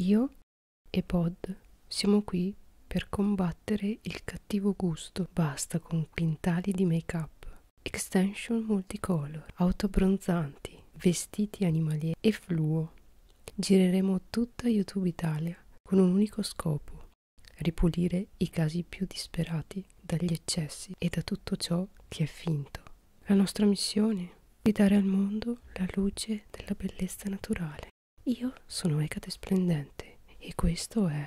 Io e Bod siamo qui per combattere il cattivo gusto. Basta con quintali di make-up, extension multicolor, auto abbronzanti, vestiti animalieri e fluo. Gireremo tutta YouTube Italia con un unico scopo, ripulire i casi più disperati dagli eccessi e da tutto ciò che è finto. La nostra missione di dare al mondo la luce della bellezza naturale. Io sono Ecate Splendente e questo è...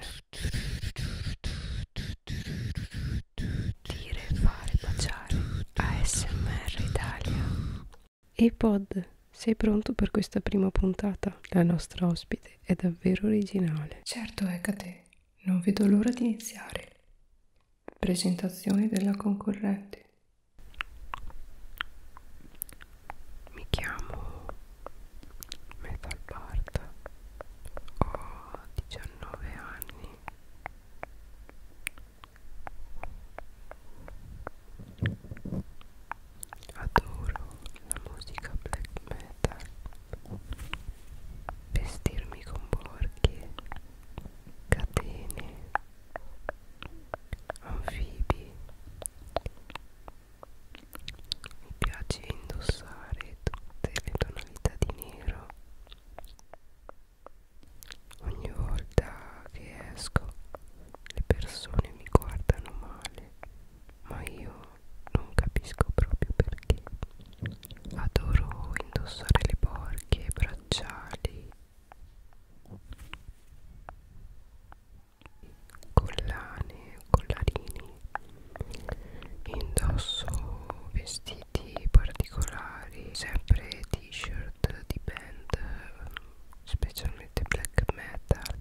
Dire, fare, baciare. ASMR Italia. E pod, sei pronto per questa prima puntata? La nostra ospite è davvero originale. Certo, Ecate, ecco non vedo l'ora di iniziare. Presentazione della concorrente. Mi chiamo Metal Bart, ho 19 anni. Adoro la musica black metal, vestirmi con borchie, catene anfibi mi piace indossare tutte le tonalità di nero ogni volta che esco le persone mi guardano male ma io non capisco proprio perché adoro indossare le borchie, i bracciali collane, collarini indosso vestiti particolari sempre t-shirt di band specialmente black metal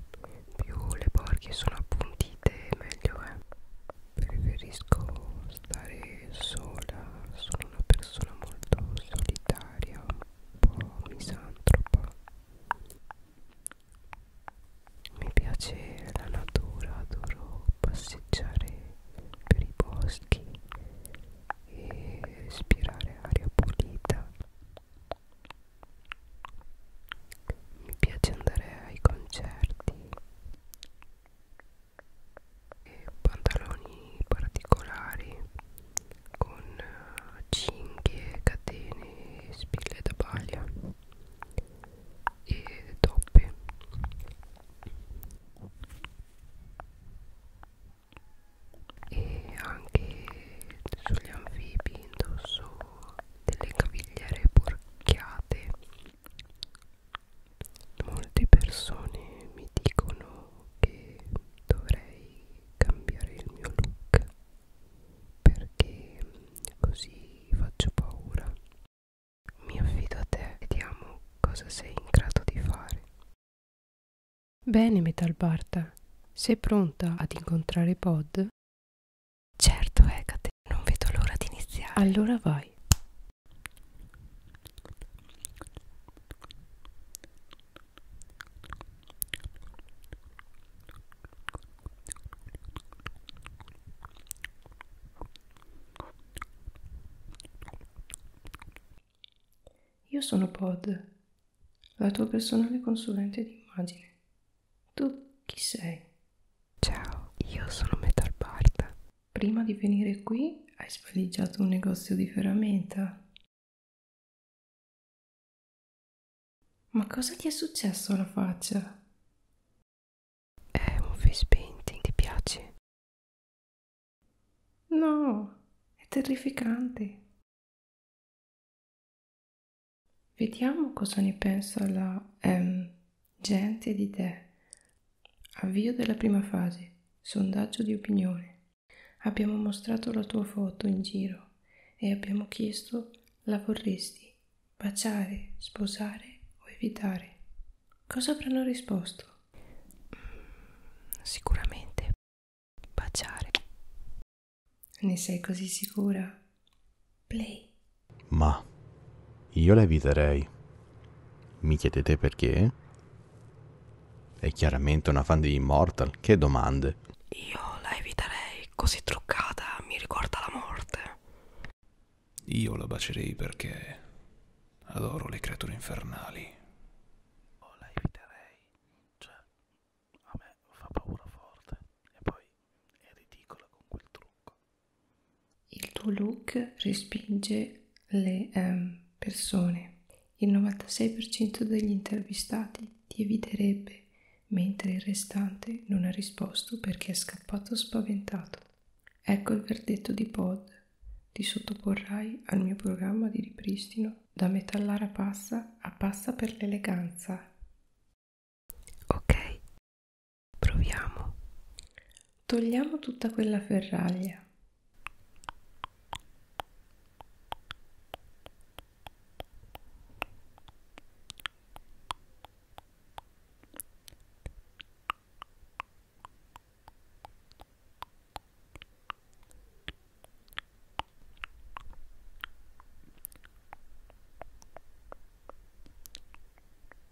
più le borchie sono appuntite meglio è preferisco stare sola, sono una persona molto solitaria, un po' misantropa. Mi piace la natura, adoro passeggiare per i boschi e respirare aria pulita. Mi piace andare ai concerti e pantaloni particolari con eh, cinghie, catene, spille da paglia e toppe e anche sugli anfibi indosso delle cavigliere porchiate Molte persone mi dicono che dovrei cambiare il mio look perché così faccio paura. Mi affido a te, vediamo cosa sei in grado di fare. Bene, Metalbarta, sei pronta ad incontrare Pod? Certo, Ecate, non vedo l'ora di iniziare. Allora vai. Io sono Pod, la tua personale consulente di immagine. Tu chi sei? Ciao, io sono Metal Bard Prima di venire qui hai svaligiato un negozio di ferramenta. Ma cosa ti è successo alla faccia? È un face painting, ti piace? No, è terrificante. Vediamo cosa ne pensa la M. Ehm, gente di te. Avvio della prima fase, sondaggio di opinione. Abbiamo mostrato la tua foto in giro e abbiamo chiesto la vorresti baciare, sposare o evitare. Cosa avranno risposto? Sicuramente baciare. Ne sei così sicura? Play. Ma io la eviterei. Mi chiedete perché? È chiaramente una fan di Immortal, che domande. Io la eviterei, così truccata mi ricorda la morte. Io la bacerei perché adoro le creature infernali. Oh, la eviterei, cioè a me fa paura forte e poi è ridicola con quel trucco. Il tuo look respinge le eh, persone. Il 96% degli intervistati ti eviterebbe, mentre il restante non ha risposto perché è scappato spaventato. Ecco il verdetto di Pod. Ti sottoporrai al mio programma di ripristino da metallara passa a passa per l'eleganza. Ok, Proviamo. Togliamo tutta quella ferraglia.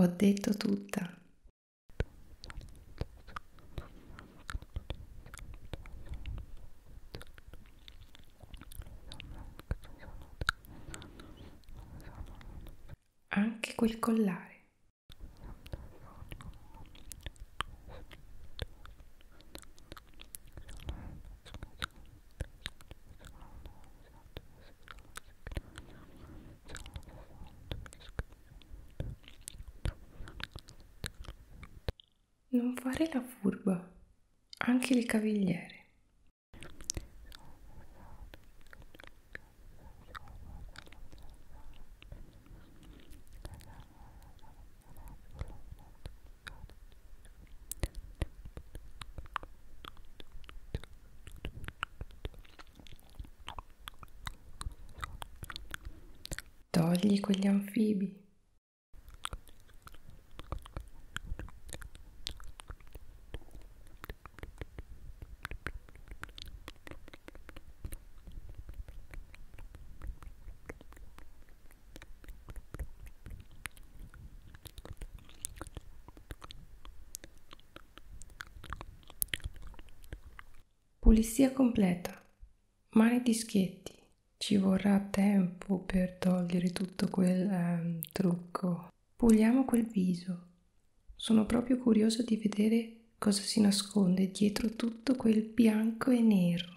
Ho detto tutta. Anche quel collare. Non fare la furba, anche il cavigliere. Togli quegli anfibi. Pulizia completa. Mani di schietti. Ci vorrà tempo per togliere tutto quel ehm, trucco. Puliamo quel viso. Sono proprio curiosa di vedere cosa si nasconde dietro tutto quel bianco e nero.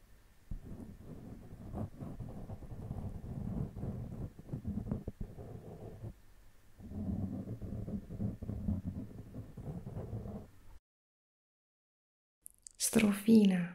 Strofina.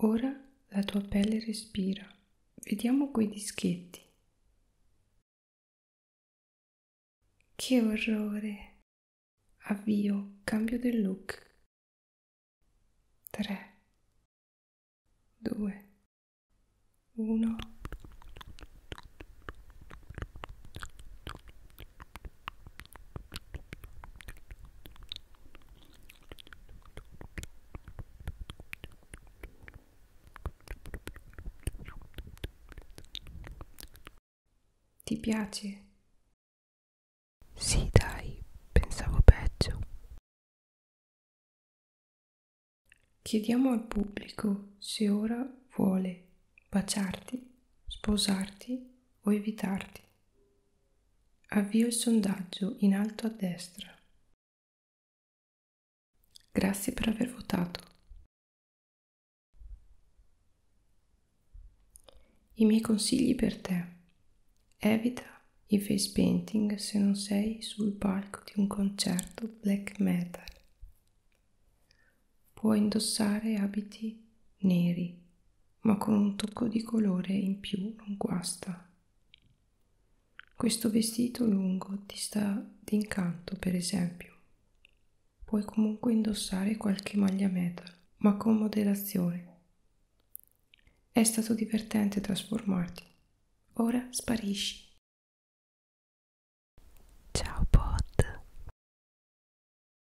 Ora la tua pelle respira. Vediamo quei dischetti. Che orrore! Avvio, cambio del look. 3, 2, 1. Ti piace? Sì, dai, pensavo peggio. Chiediamo al pubblico se ora vuole baciarti, sposarti o evitarti. Avvio il sondaggio in alto a destra. Grazie per aver votato. I miei consigli per te. Evita i face painting se non sei sul palco di un concerto black metal. Puoi indossare abiti neri ma con un tocco di colore in più non guasta. Questo vestito lungo ti sta d'incanto, per esempio. Puoi comunque indossare qualche maglia metal, ma con moderazione. È stato divertente trasformarti. Ora sparisci. Ciao Pod.